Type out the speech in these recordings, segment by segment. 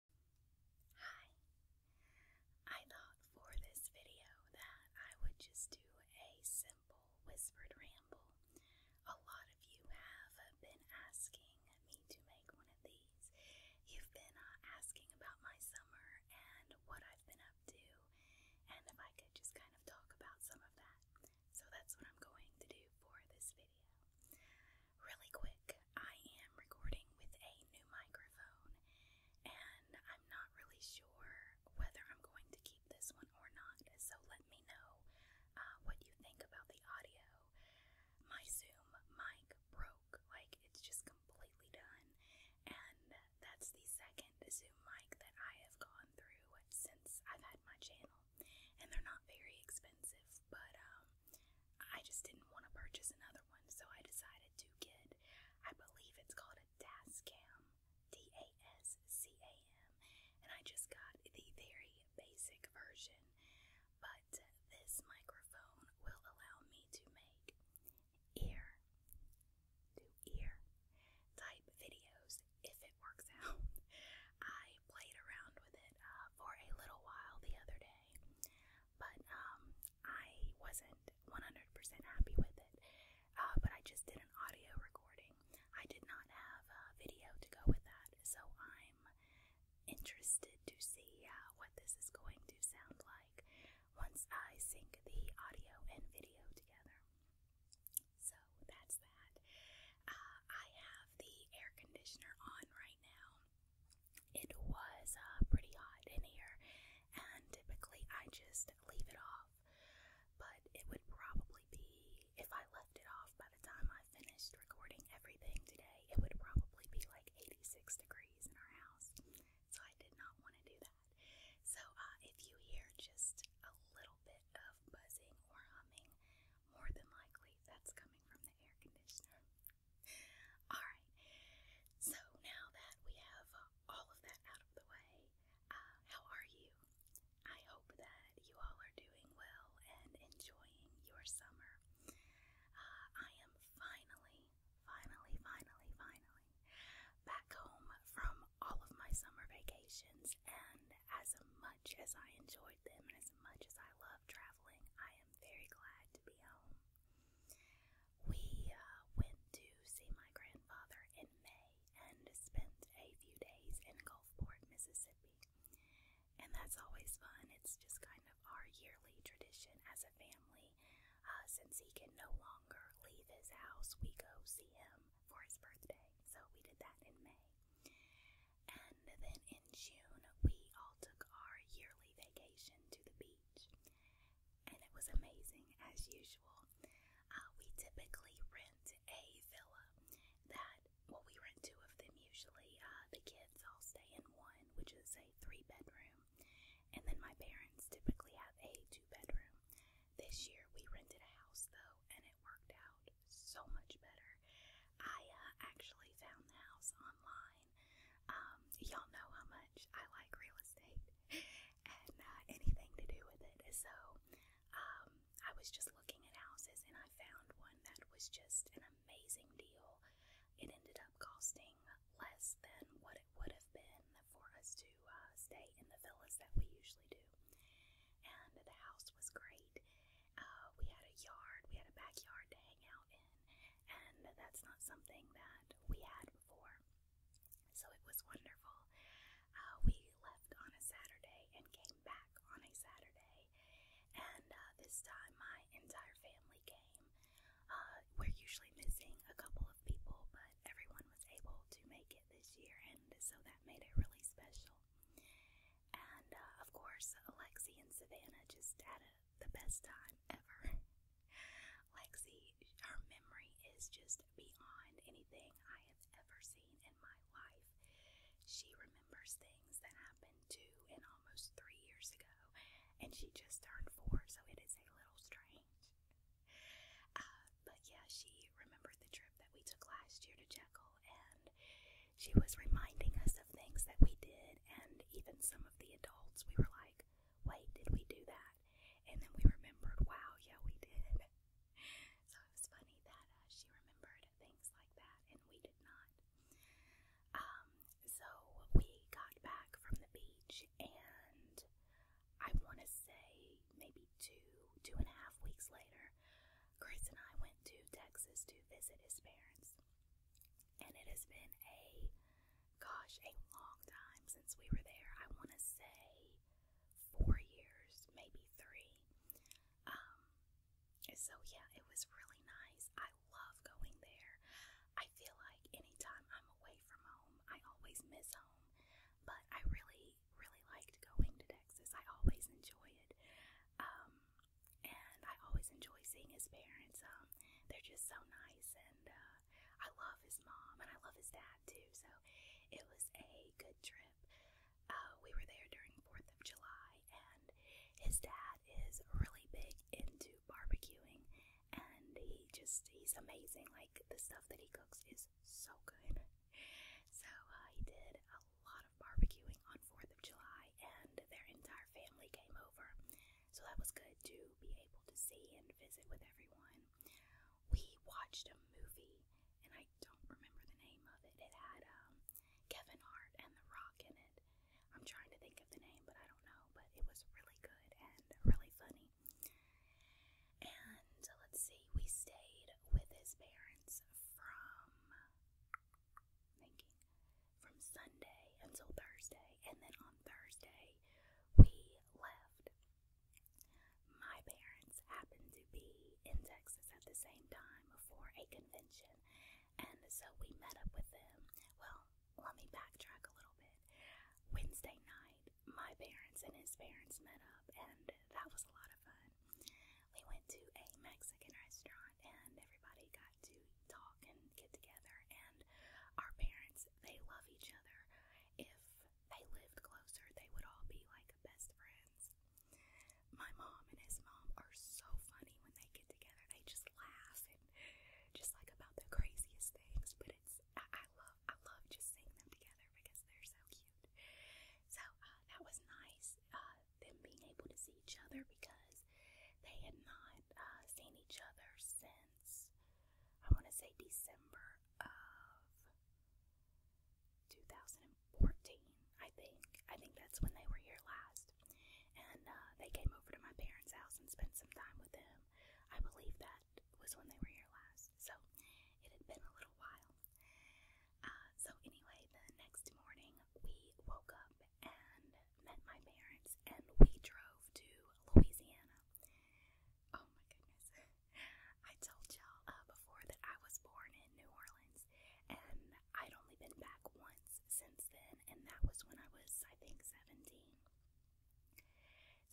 Hi. I thought for this video that I would just do a simple whispered ramble. A lot of you have been asking me to make one of these. You've been uh, asking about my summer and what I've been up to, and if I could just kind of talk about some of that. So that's what I'm going to do for this video really quick, I am recording with a new microphone, and I'm not really sure whether I'm going to keep this one or not, so let me know uh, what you think about the audio. My Zoom mic broke, like it's just completely done, and that's the second Zoom mic that I have gone through since I've had my channel, and they're not very expensive, but um, I just didn't want to purchase another one, so I decided to get, I believe it's called a Dascam, D A S C A M, and I just got the very basic version. But this microphone will allow me to make ear to ear type videos if it works out. I played around with it uh, for a little while the other day but um, I wasn't 100% happy with it. Uh, but I just did an audio recording. I did not have a video to go with that, so I'm interested to see uh, what this is going to sound like once I sync the audio and video together. So that's that. Uh, I have the air conditioner on right now it was uh, pretty hot in here, and typically I just leave it off. But it would probably be, if I left it off by the time I finished recording everything today, it would probably be like 86 degrees in our house. So I did not want to do that. So uh, if you hear just a little bit of buzzing or humming, more than likely, that's coming from the air conditioner. Alright, so now that we have all of that out of the way, uh, how are you? I hope that you all are doing well and enjoying your summer. Uh, I am finally, finally, finally, finally back home from all of my summer vacations, and as much as I enjoyed them and as much as I love traveling. I am very glad to be home. We uh, went to see my grandfather in May and spent a few days in Gulfport, Mississippi. And that's always fun. It's just kind of our yearly tradition as a family. Uh, since he can no longer leave his house, we go see him for his birthday. So we did that in May. And then in June, we all took our yearly vacation to the beach. And it was amazing as usual. Uh, we typically rent a villa that, well, we rent two of them usually. Uh, the kids all stay in one, which is a three bedroom. And then my parents typically have a two bedroom. This year we rented a house though, and it worked out so much better. I uh, actually found the house online. Um, y'all know how much I like real estate and uh, anything to do with it. So um, I was just looking at houses and I found one that was just an amazing deal. It ended up costing less than what it would have been for us to uh, stay in the villas that we usually do. And the house was great. Uh, we had a yard, we had a backyard to hang out in, and that's not something that we had before. So it was wonderful. Uh, we left on a Saturday and came back on a Saturday, and uh, this time my entire family came. we're usually missing a couple of people, but everyone was able to make it this year, and so that made it really special. And uh, of course, Lexi and Savannah just had a, the best time ever. Lexi, her memory is just beyond anything I have ever seen in my life. She remembers things that happened two and almost three years ago, and she just turned four, so it is a little strange. Uh, but yeah, she remembered the trip that we took last year to Jekyll and she was reminding us of things that we did, and even some of the adults, we were like, wait, did we do that? And then we remembered, wow, yeah, we did. So it was funny that uh, she remembered things like that, and we did not. Um, so we got back from the beach, and I want to say maybe two, two and a half weeks later, Grace and I went to Texas to visit his parents. And it has been a, gosh, a long time since we were there. I want to say four years, maybe three. Um, so, yeah, it was really nice. I love going there. I feel like anytime I'm away from home, I always miss home. But I really really, really liked going to Texas. I always enjoy it. Um, and I always enjoy seeing his parents. Um, they're just so nice, and uh, I love his mom, and I love his dad too. So it was a good trip. Uh, we were there during Fourth of July, and his dad is really big into barbecuing, and he just he's amazing. Like the stuff that he cooks is so good. So uh, did a lot of barbecuing on 4th of July, and their entire family came over. So that was good to be able to see and visit with everyone. We watched a movie, and I don't remember the name of it. It had um, Kevin Hart and The Rock in it. I'm trying to think of the name, but I don't know. But it was really good and really funny. And let's see, we stayed with his parents from thinking from Sunday until Thursday, and then on Thursday we left. My parents happened to be in Texas at the same time for a convention, and so we met up with them. Well, let me backtrack a little bit. Wednesday night, my parents and his parents met up, and that was a lot of fun. We went to a Mexican restaurant, and everybody got to talk and get together. And our parents, they love each other. If they lived closer, they would all be like best friends. My mom and his mom are so funny when they get together, they just laugh and just like about the craziest things, but it's I, I love I love just seeing them together because they're so cute cute. So uh, that was nice, uh, them being able to see each other because they had not uh, seen each other since I want to say December of 2014. I think I think that's when they were here last, and uh, they came over to my parents' house and spent some time with them. I believe that was when they were here last so it had been a little while. Uh, so, anyway, the next morning we woke up and met my parents, and we drove to Louisiana. Oh my goodness. I told y'all uh, before that I was born in New Orleans, and I'd only been back once since then, and that was when I was, I think, 17.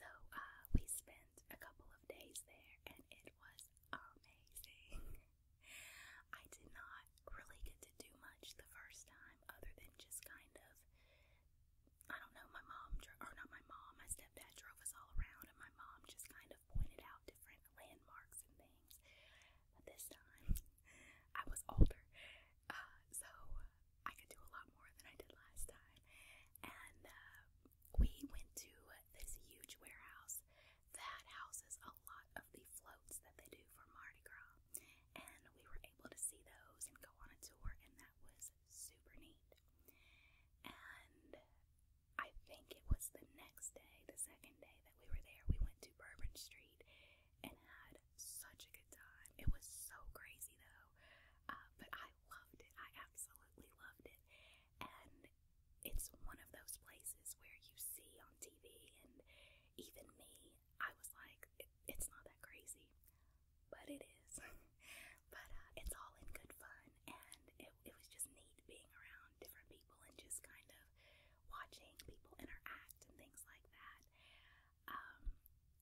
So, uh, we spent spent a couple of days there and it was amazing. I did not really get to do much the first time other than just kind of, I don't know, my mom, or not my mom, my stepdad drove us all around and my mom just kind of pointed out different landmarks and things. But this time, I was older, uh, so I could do a lot more than I did last time. And uh, we went to this huge warehouse that houses a lot of the floats that they do for Mardi Gras, and we were able to see those and go on a tour, and that was super neat. And I think it was the next day, the second day that we were there, we went to Bourbon Street and had such a good time. It was so crazy though, uh, but I loved it. I absolutely loved it. And it's one of those places where you see on TV, and even me, I was like, it, it's not that crazy, but it is. but uh, it's all in good fun, and it, it was just neat being around different people and just kind of watching people interact and things like that. Um,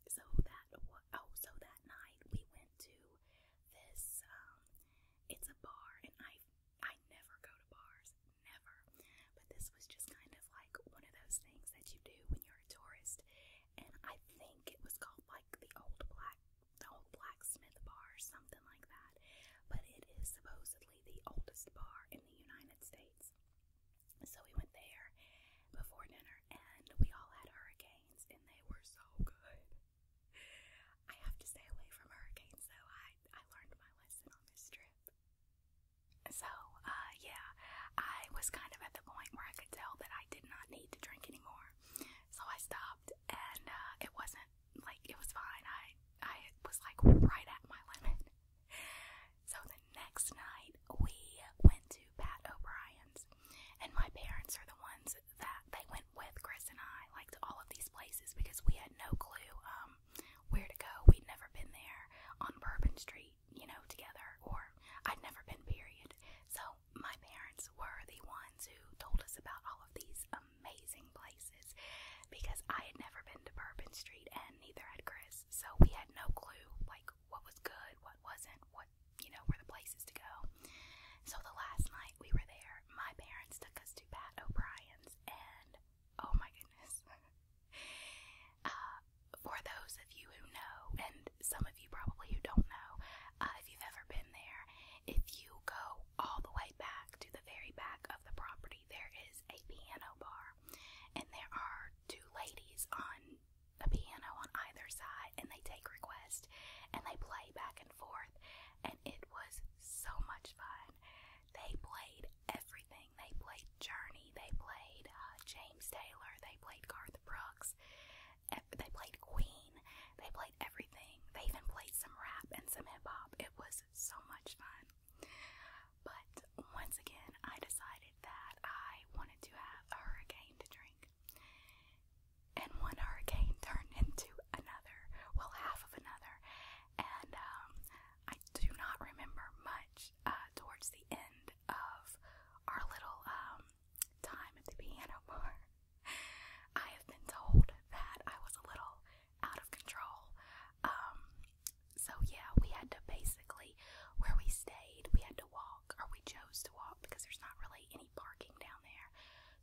so that oh, so that night we went to this. Um, it's a bar, and I I never go to bars, never. But this was just kind of like one of those things that you do when you're a tourist. And I think it was called like the old black, the old blacksmith bar, something like that. But it is supposedly the oldest bar in the United States. So we went there before dinner, and we all had hurricane and they were so good. I have to stay away from hurricanes, though. I, I learned my lesson on this trip. So, uh, yeah, I was kind of at the point where I could tell that I did not need to drink anymore. So I stopped, and uh, it wasn't like it was fine. I, I was like right at my limit. So the next night, we went to Pat O'Brien's, and my parents are the ones that they went with Chris and I, like to all of these places because we had no clue um, where to go. We'd never been there on Bourbon Street, you know, together, or I'd never been. Period. So my parents were the ones who told us about all of these amazing places because I had never been to Bourbon Street and neither had Chris. So we had no clue, like what was good, what wasn't, what you know, were the places to go. So the last night we were there, my parents took us to Pat O'Brien's, and oh my goodness. uh, for those of you who know, and some of you probably who don't know, uh, if you've ever been there, if you go all the way back to the very back of the property, there is a piano bar, and there are two ladies on a piano on either side and they take requests and they play back and forth and it was so much fun. They played everything. They played Journey, they played uh, James Taylor, they played Garth Brooks, they played Queen, they played everything. They even played some rap and some hip hop. It was so much fun. But once again, I decided that I wanted to have a hurricane to drink. And one hurricane turned into another, well, half of another. And um, I do not remember much uh, towards the end of our little um, time at the piano bar. I have been told that I was a little out of control. Um, so, yeah, we had to basically, where we stayed, we had to walk or we chose to walk because there's not really any parking down there.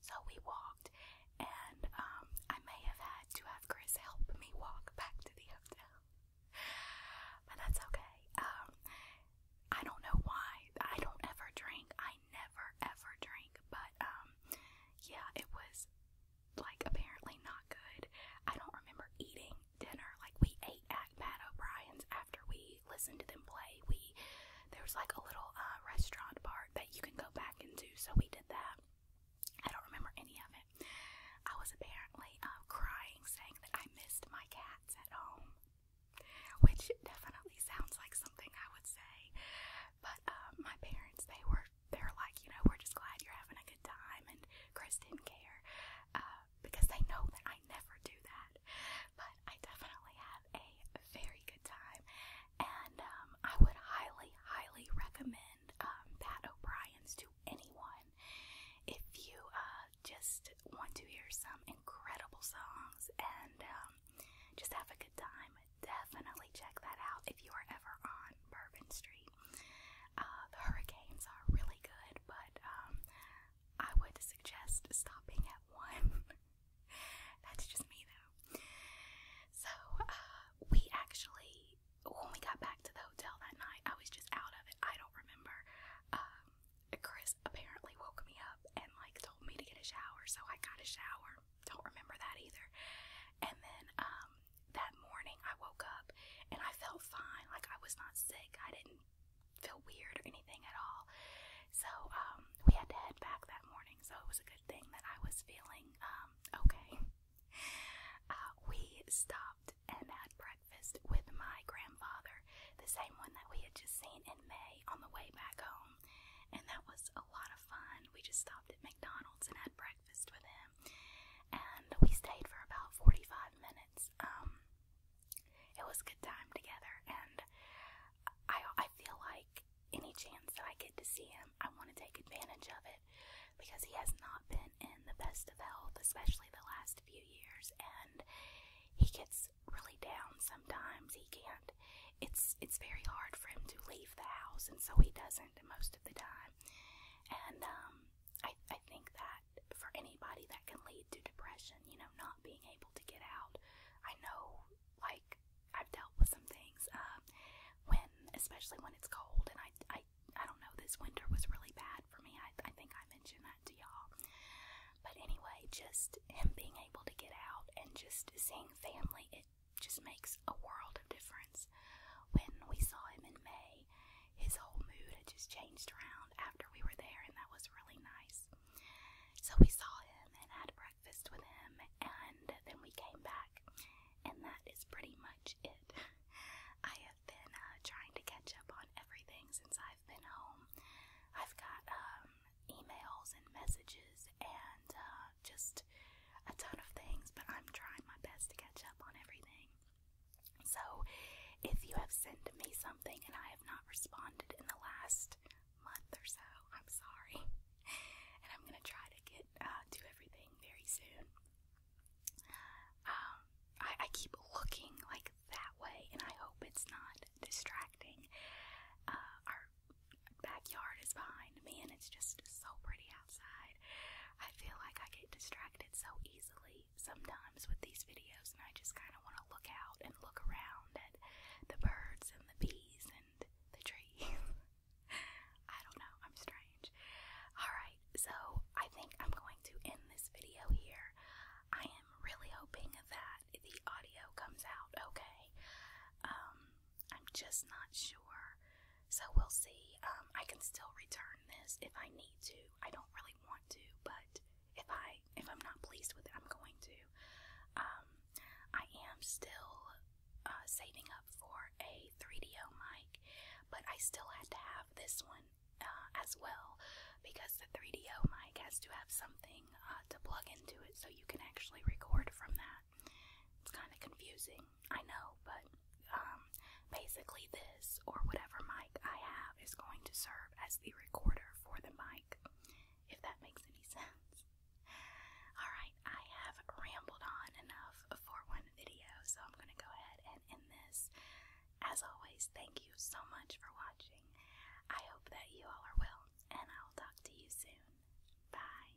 So we walked, and um, I may have had to have Chris help me walk back to the hotel, but that's okay. Um, I don't know why. I don't ever drink. I never ever drink, but um, yeah, it was like apparently not good. I don't remember eating ate dinner. Like we ate at Matt O'Brien's after we listened to them play. We there was like a little uh, restaurant part that you can go back into, so we did that. I don't remember any of it. I was apparently uh, crying, saying that I missed my cats at home, which definitely sounds like something I would say. But um, my parents, they were they're like, you know, we're just glad you're having a good time, and Chris didn't care. Uh, because they know that I never do that. But I definitely have a very good time, and um, I would highly, highly recommend um, Pat O'Brien's to anyone if you uh, just want to hear some incredible songs and um, just have a good time. Definitely check that out if you are ever on Bourbon Street. Uh, the hurricanes are really good, but um, I would suggest stopping at one. That's just me though. So uh, we actually, when we got back to the hotel that night, I was just out of it. I don't remember. Um, Chris apparently woke me up and like told me to get a shower, so I got a shower. Don't remember that either. And then um, that morning I woke up and I felt fine. Like I was not sick. I didn't feel weird or anything at all. So um, we had to head back that morning. So it was a good thing that I was feeling um, okay. Uh, we stopped and had breakfast with my grandfather, the same one that we had just seen in May on the way back home. And that was a lot of fun. We just stopped at McDonald's and had breakfast with him and we stayed for about 45 minutes. Um, it was a good time together, and I, I feel like any chance that I get to see him, I want to take advantage of it because he has not been in the best of health, especially the last few years, and he gets really down sometimes. He can't. It's it's very hard for him to leave the house, and so he doesn't most of the time. And um, I, I think that for anybody that can lead to depression, you know, not being able to get out. I know, like, I've dealt with some things uh, when, especially when it's cold, and I, I, I don't know, this winter was really bad for me. I, I think I mentioned that to y'all. But anyway, just him being able to get out and just seeing family, it just makes a world of difference. When we saw him in May, his whole mood had just changed around after we were there, and that was really nice. So we saw him and had breakfast with him, and then we came back, and that is pretty much it. I have been uh, trying to catch up on everything since I've been home. I've got um, emails and messages and uh, just a ton of things, but I'm trying my best to catch up on everything. So, if you have sent me something and I have not responded in the last month or so, I'm sorry. And I'm gonna try to get uh, do everything very soon. Um, I, I keep looking like that way, and I hope it's not distracting. Uh, our backyard is behind me, and it's just so pretty I feel like I get distracted so easily sometimes with these videos, and I just kind of want to look out and look around at the birds and the bees and the trees. I don't know, I'm strange. Alright, so I think I'm going to end this video here. I am really hoping that the audio comes out okay. Um, I'm just not sure. So we'll see. Um, I can still return this if I need to. I don't really want to, but if I if I'm not pleased with it, I'm going to. Um, I am still uh, saving up for a 3DO mic, but I still had to have this one uh, as well because the 3DO mic has to have something uh, to plug into it so you can actually record from that. It's kind of confusing, I know, but um, basically, this or whatever mic I have is going to serve as the recorder for the mic, if that makes any sense. Alright, I have rambled on enough for one video, so I'm going to go ahead and end this. As always, thank you so much for watching. I hope that you all are well, and I will talk to you soon. Bye.